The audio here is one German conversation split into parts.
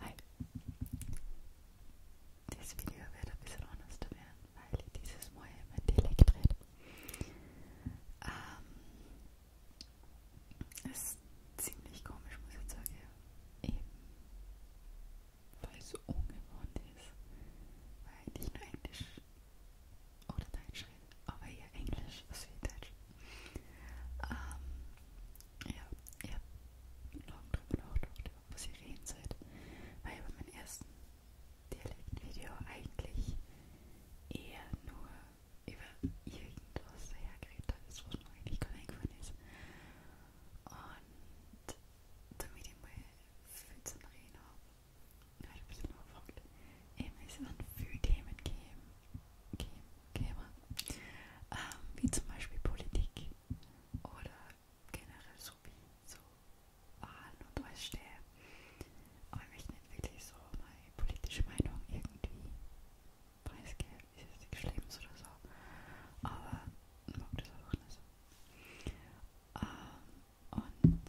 Hi. Dieses Video wird ein bisschen anders werden, weil ich dieses Mal mit Dialekt rede. Ähm, ist ziemlich komisch, muss ich sagen. Eben, weil es so ungewohnt ist, weil ich nur Englisch oder Deutsch rede, aber eher Englisch als wie Deutsch. Ähm, ja, ihr habt Morgen drüber nachgedacht, was ihr reden seid. Weil bei meinem ersten Dialektvideo eigentlich eher nur über irgendwas dahergeredet ist, was mir eigentlich gar nicht gefallen ist. Und damit ich mal viel zum Reden habe, habe ich ein bisschen nachgefragt, eben ähm, ist es an viele Themen gegeben käme, ähm, wie zum Beispiel Politik oder generell so wie so Wahlen und alles stehe, aber ich nicht wirklich so meine politische Meinung irgendwie preisgebe, ist jetzt nichts Schlimmes oder so, aber ich mag das einfach nicht. Ähm, und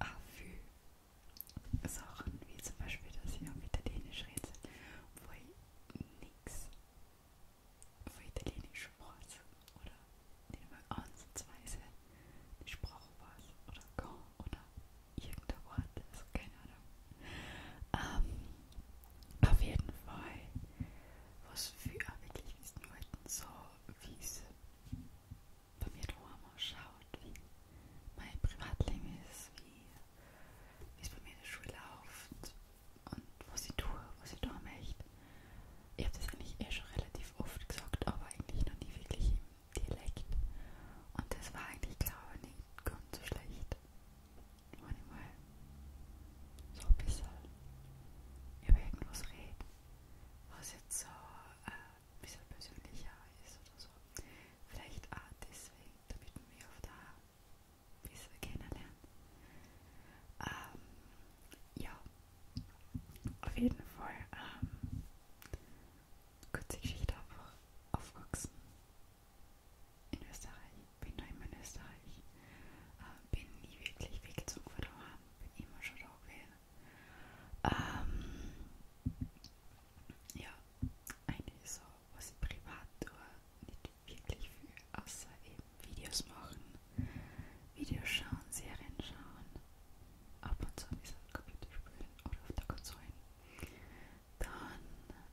auch für Sachen wie zum Beispiel, dass ich auf Italienisch rede, wo ich nichts von italienisch Worten oder nicht mal ansatzweise eine Sprachwahl oder gar oder irgendein Wort, also keine Ahnung. Ähm, auf jeden Fall, was für wirklich ist Leuten so, wie es bei mir daheim ausschaut, wie mein Privatleben ist, wie wie es bei mir in der Schule läuft und was ich tue, was ich tun möchte. Ich habe das eigentlich eh schon relativ oft gesagt, aber eigentlich noch nie wirklich im Dialekt. Und das war eigentlich, glaube ich, nicht ganz so schlecht. Wenn ich mal so ein bisschen über irgendwas rede, was jetzt so äh, ein bisschen persönlicher ist oder so. Vielleicht auch deswegen, damit man mich auf der wie sie kennenlernen. Ähm, ja, auf jeden Fall ähm, kurze Geschichte einfach aufgewachsen in Österreich. Bin da immer in Österreich. Ähm, bin nie wirklich weggezogen von daheim. Bin immer schon da gewesen. Ähm, ja, eigentlich so, was ich privat tue, nicht wirklich viel, außer eben Videos machen, Videos schauen, Serien schauen, ab und zu ein bisschen Computer spielen oder auf der Konsole. Dann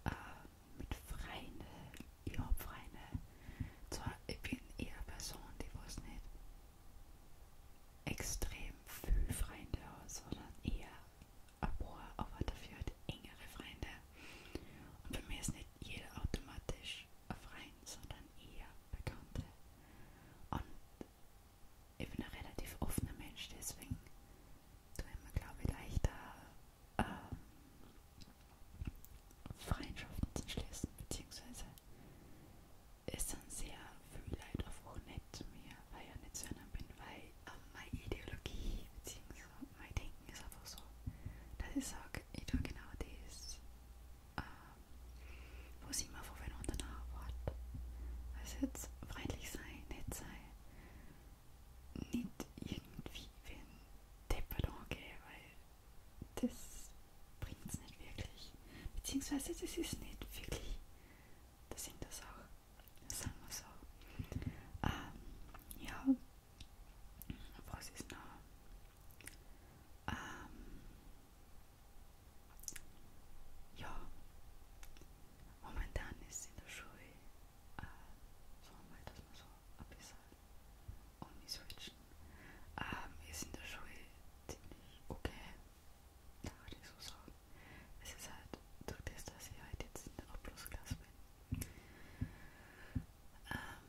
äh, mit Freunden, ich habe Freunde. Zwar, ich bin eher eine Person, die was nicht extrem viel Freunde hat, sondern eher ein paar, aber dafür halt engere Freunde. Und bei mir ist nicht jeder automatisch ein Freund, sondern eher Bekannte. Und ich bin ein relativ offener Mensch, deswegen tue ich mir, glaube ich, leichter ähm, Freundschaften zu schließen, beziehungsweise es sind sehr viele Leute einfach nett zu mir, weil ich ja nicht zu einer bin, weil ähm, meine Ideologie bzw. mein Denken ist einfach so, dass ich sage, ich tue genau das, ähm, was ich mir von den anderen erwarte. Also jetzt freundlich sein, nett sein, nicht irgendwie wenn deppert angehen, weil das bringt es nicht wirklich. Beziehungsweise das ist nicht wirklich der Sinn der Sache, sagen wir so. Ähm, ja, was ist noch? Ähm, ja, momentan ist in der Schule äh, so mal, dass wir so ein bisschen umswitchen. Ähm, ist in der Schule ziemlich okay, da würde ich so sagen. Es ist halt durch das, dass ich halt jetzt in der Abschlussklasse bin, ähm,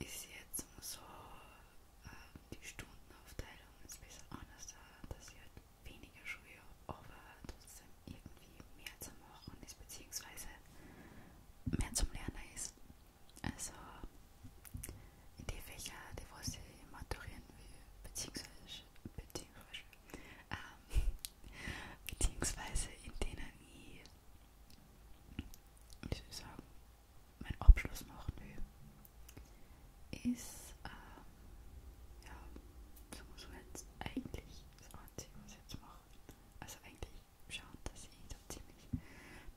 ist jetzt so ähm, die Stundenaufteilung ist ein bisschen anders da, dass ich halt weniger Schule aber trotzdem irgendwie mehr zum Machen ist, beziehungsweise mehr zum Lernen ist. Also in die Fächer, die was ich maturieren will, beziehungsweise, beziehungsweise ähm, beziehungsweise in denen ich, wie soll ich sagen, meinen Abschluss machen will, ist, ähm, ja, sagen wir so jetzt, eigentlich das Einzige, was ich jetzt mache. Also eigentlich schauen, dass ich da ziemlich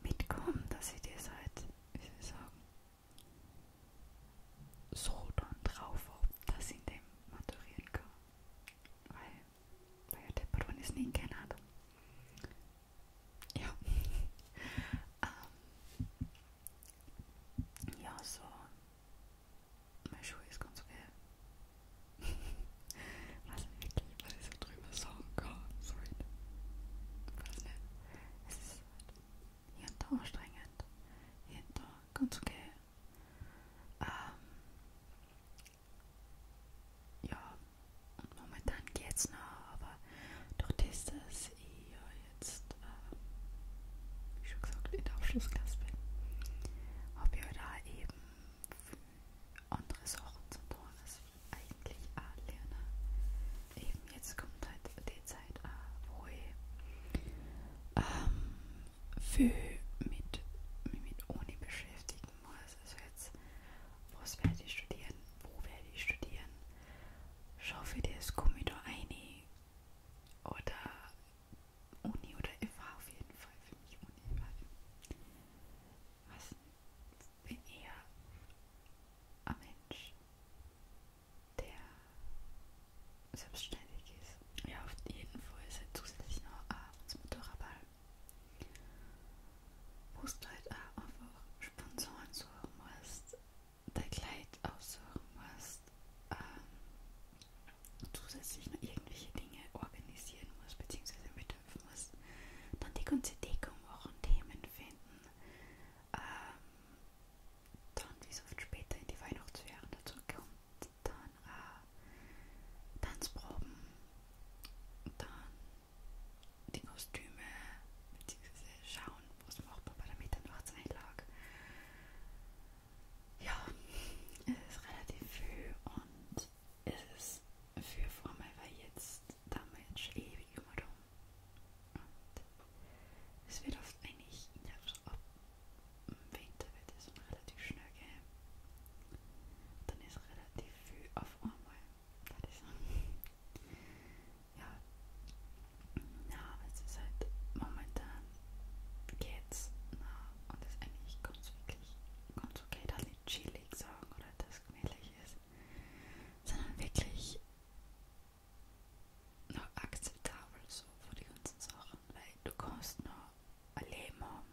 mitkomme, dass ich das halt, wie soll ich sagen, so dann drauf habe, dass ich dem maturieren kann. Weil Var jag deppad var ni snickarnad? Ja. um, ähm, ja, så Menschow ist ganz okay. weiß nicht wirklich, was ich so drüber sagen kann. Sorry. Weiß nicht. Es ist halt hier und da anstrengend. Hier und da ganz okay. Ähm, ja, und momentan geht's noch, aber durch das, dass ich ja jetzt, äh, wie schon gesagt, in der Abschlussklasse bin, habe ich ja halt da eben andere Sachen zu tun, als ich eigentlich auch lerne. Eben jetzt kommt halt die Zeit, äh, wo ich ähm, viel mit, mit Uni beschäftigen muss. Also jetzt, was werde ich studieren, wo werde ich studieren, schaffe ich das, komme ich da rein oder Uni oder FH auf jeden Fall für mich Uni, weil was bin eher ein Mensch, der selbstständig ist ja, auf jeden Fall ist halt zusätzlich noch auch äh, das Motorradball. Wo du halt auch einfach Sponsoren suchen musst, dein Kleid aussuchen musst, ähm, zusätzlich noch irgendwelche Dinge organisieren musst, beziehungsweise mithelfen musst, dann die ganze Deckung machen, Themen finden, ähm, dann wie es oft später in die Weihnachtsferien dazu kommt, dann äh, Tanzproben, dann die Kostüme, beziehungsweise schauen, wo es machbar bei der Mitternachtsnacht lag. Ja, es ist relativ viel und es ist für Formel, weil jetzt der Mensch ewig immer rum. Und es wird oft eigentlich nervt ab im Winter wird es dann relativ schnell gehen. Dann ist relativ viel auf einmal. Das ist ja. ja, es ist halt momentan geht's nah und ist eigentlich ganz wirklich ganz okay, da nicht chillig sagen oder das gemütlich ist, sondern wirklich noch akzeptabel so für die ganzen Sachen, weil du kannst noch ein Leben haben,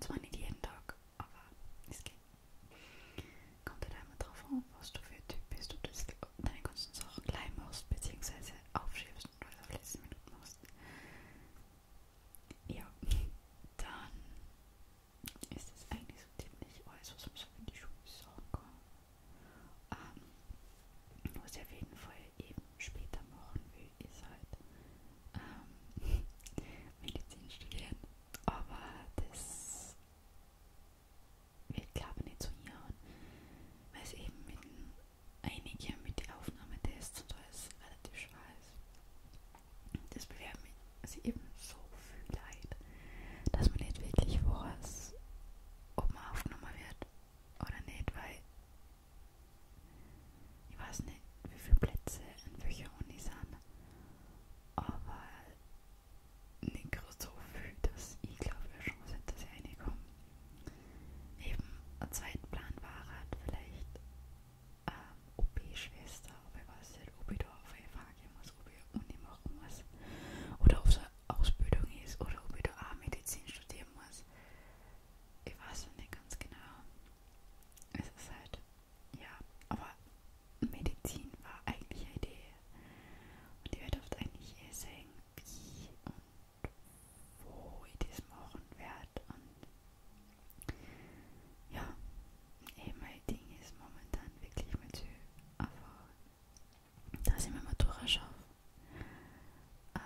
zwar nicht jeden Tag, aber es geht. Kommt halt einmal drauf an, was du für ein Typ bist, ob du deine ganzen Sachen klein machst, beziehungsweise aufschiebst und alles auf letzte Minute machst. Ja, dann ist das eigentlich so ziemlich alles, was man so in die Schule sagen kann. Ähm, was ich auf jeden Fall eben später machen will ist halt ähm, Medizin studieren, aber das wird glaube ich nicht so hinhauen, weil es eben mit einigen mit den Aufnahmetests und alles relativ schwer ist. Das bewerben sie eben so viel Leid, dass man nicht wirklich weiß, ob man aufgenommen wird oder nicht, weil ich weiß nicht, wie viele Plätze in welcher Uni sind, aber nicht so viel, dass ich glaube, wir Chance hätte, dass ich reinkomme. Eben, ein zweiter Plan war halt vielleicht ähm, OP-Schwester, aber ich weiß nicht, ob ich da auf eine Frage muss, ob ich Uni machen muss oder ob es eine Ausbildung ist oder ob ich da auch Medizin studieren muss. Ich weiß noch nicht ganz genau es ist halt, ja, aber Medizin war eigentlich eine Idee. Und die wird oft eigentlich eher sehen, wie und wo ich das machen werde. Und ja, eben eh, mein Ding ist momentan wirklich mein Tür. Aber dass ich mir mal durchschaue. Ähm,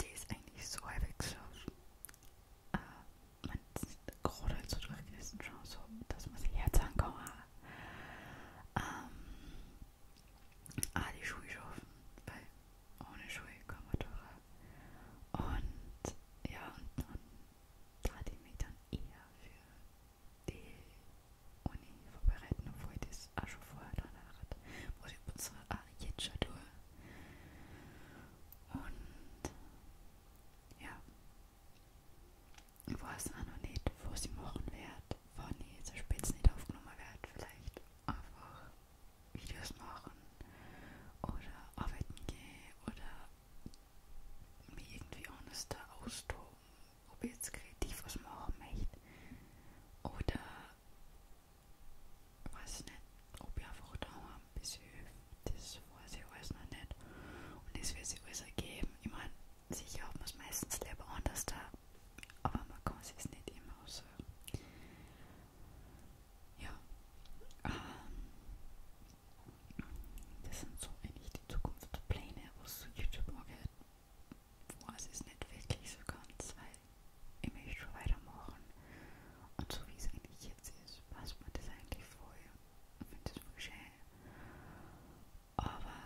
die ist eigentlich so weggeschlafen. Äh, man ist gerade halt so durchgegessen, schon so, dass man sich jetzt ankommen ähm, Ah, die Schuhe schaffen, weil ohne Schuhe kann man durch. Und ja, und dann tat ich mich dann eher für die Uni vorbereiten, obwohl ich das auch schon vorher danach hatte. Muss ich jetzt schon durch. Und ja, wo es auch noch nicht, wo sie machen wird, wann ich zur Spitze nicht aufgenommen werde, vielleicht einfach Videos machen oder arbeiten gehen oder mich irgendwie anders da austoben, ob ich jetzt kreativ was machen möchte oder weiß nicht, ob ich einfach daheim Besuch, das weiß ich alles noch nicht. Und das wird sich alles ergeben. Ich meine, sicher hat man es meistens lieber anders da, aber man kann es nicht immer so. Ja, ähm, das sind so eigentlich die Zukunftspläne, was so YouTube angeht. Weiß es nicht wirklich so ganz, weil ich möchte schon weitermachen. Und so wie es eigentlich jetzt ist, passt mir das eigentlich voll. Ich finde das voll schön. Aber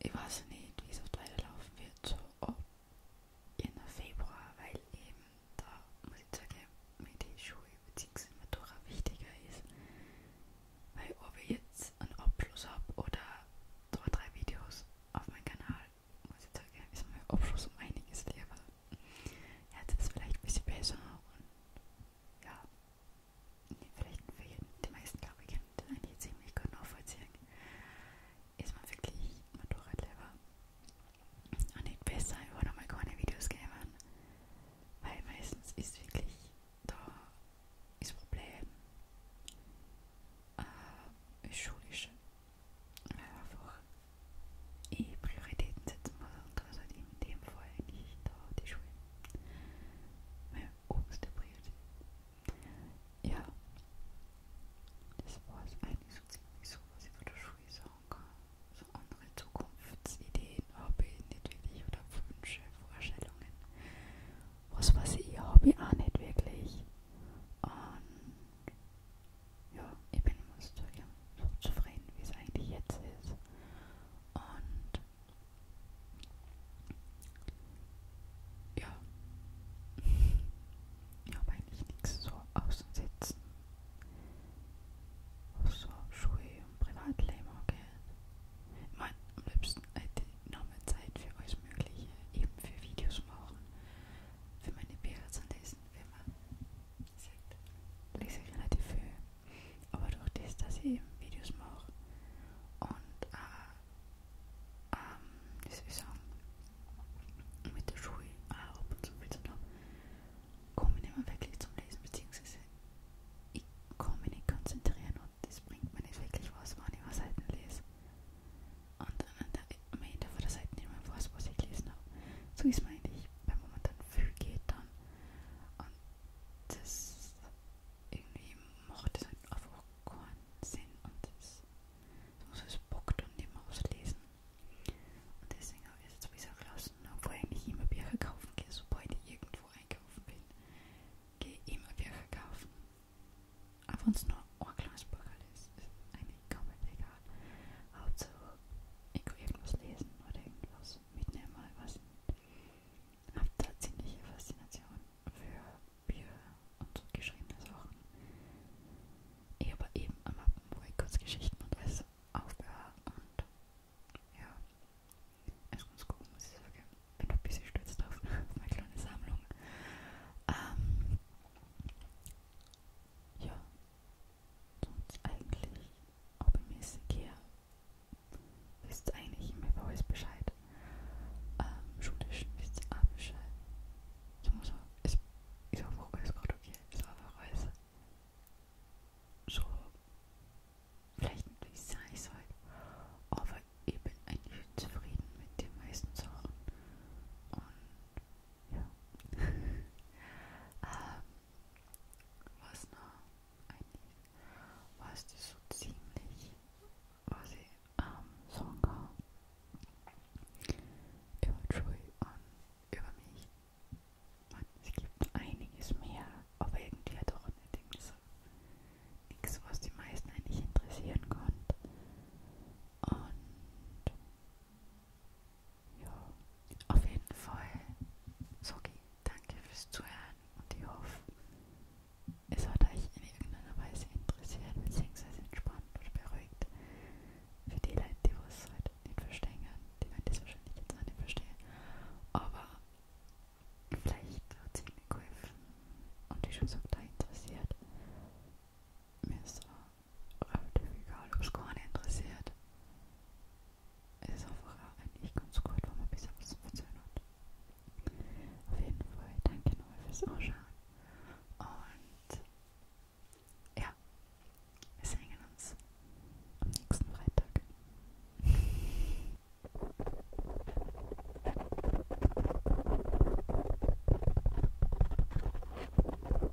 ich weiß nicht, wie es oft weiterlaufen wird. So ab Ende Februar, weil eben da, muss ich sagen, mir die Schule bzw. Matura wichtiger ist. Weil ob ich jetzt einen Abschluss habe oder zwei, drei Videos auf meinem Kanal, Heutzutage ist mein Abschluss um einiges leerer. Ja, jetzt ist es vielleicht ein bisschen besser und ja, nee, vielleicht für die meisten, glaube ich, können das eigentlich ziemlich gut nachvollziehen. Ist man wirklich Motorradlever und nicht besser, ich wollte mal keine Videos geben, weil meistens ist wirklich da das Problem äh, schulisch einfach eh Prioritäten setzen muss und das halt in dem Fall nicht da die Schule. Meine oberste Priorität. Ja, das war es eigentlich so ziemlich so, was ich von der Schule sagen kann. So andere Zukunftsideen habe ich nicht wirklich oder Wünsche, Vorstellungen. Was weiß ich, habe ich auch nicht wirklich. Und ja, ich bin immer so, ja, so zufrieden, wie es eigentlich jetzt ist. Und ja, ich habe eigentlich nichts so auszusetzen, was so Schule und Privatleben angeht. Ich meine, am liebsten hätte ich noch mehr Zeit für alles Mögliche, eben für Videos machen, für meine Bilder zu lesen, für meine lese ich relativ viel. Aber durch das, dass ich eben Videos mache und äh, ähm, wie soll ich sagen, mit der Schule auch äh, ab und zu viel zu tun, komme ich nicht mehr wirklich zum Lesen, beziehungsweise ich kann mich nicht konzentrieren und das bringt mir nicht wirklich was, wenn ich was Seiten lese. Und dann, am Ende von der Seite nicht mehr weiß, was ich gelesen habe. So ist man eigentlich, wenn man dann viel geht dann. Und das irgendwie macht das halt einfach keinen Sinn und das, das muss es Bock dann nicht mehr auslesen. Und deswegen habe ich es jetzt wieder gelassen, obwohl ich eigentlich immer Bücher kaufen gehe, sobald ich irgendwo einkaufen bin, gehe ich immer Bücher kaufen. Auch wenn es nur ein kleines Buch ist, ist eigentlich komplett egal ja. Hauptsache irgendwas lesen oder irgendwas mitnehmen mal was. Hab da ziemliche Faszination für Bücher und so geschriebene Sachen. Ich habe eben am Mappen, wo ich Kurzgeschichten und alles aufbehöre und ja, ist ganz cool, muss ich sagen. Bin ein bisschen stolz drauf, auf meine kleine Sammlung. Ähm, ja, sonst eigentlich hobbymäßig hier. Wisst eigentlich immer bei euch Bescheid. Ähm, schulisch wisst ihr auch Bescheid. Ich muss auch, ich, ich habe auch alles Portugiesisch, ich habe auch alles so, vielleicht nicht wie es sein soll, aber ich bin eigentlich zufrieden mit den meisten Sachen. Und ja. ähm, was noch? Eigentlich war es das so ziemlich, was ich am ähm, Song habe. Über Joy und über mich. Man, es gibt einiges mehr, aber irgendwie hat auch allerdings nichts, was die meisten eigentlich interessieren konnte. Und ja, auf jeden Fall. Sogi, danke fürs Zuhören und ich hoffe, es hat euch in irgendeiner Weise interessiert bzw. entspannt oder beruhigt. Für die Leute, die es halt nicht verstehen, die werden das wahrscheinlich jetzt auch nicht verstehen. Aber vielleicht hat es ihnen geholfen und wie schon gesagt, da interessiert. Mir ist auch relativ egal, ob es gar nicht interessiert. Es ist einfach eigentlich ganz gut, wenn man ein bisschen was zu erzählen hat. Auf jeden Fall, danke nochmal fürs Anschauen. Und ja, wir sehen uns am nächsten Freitag.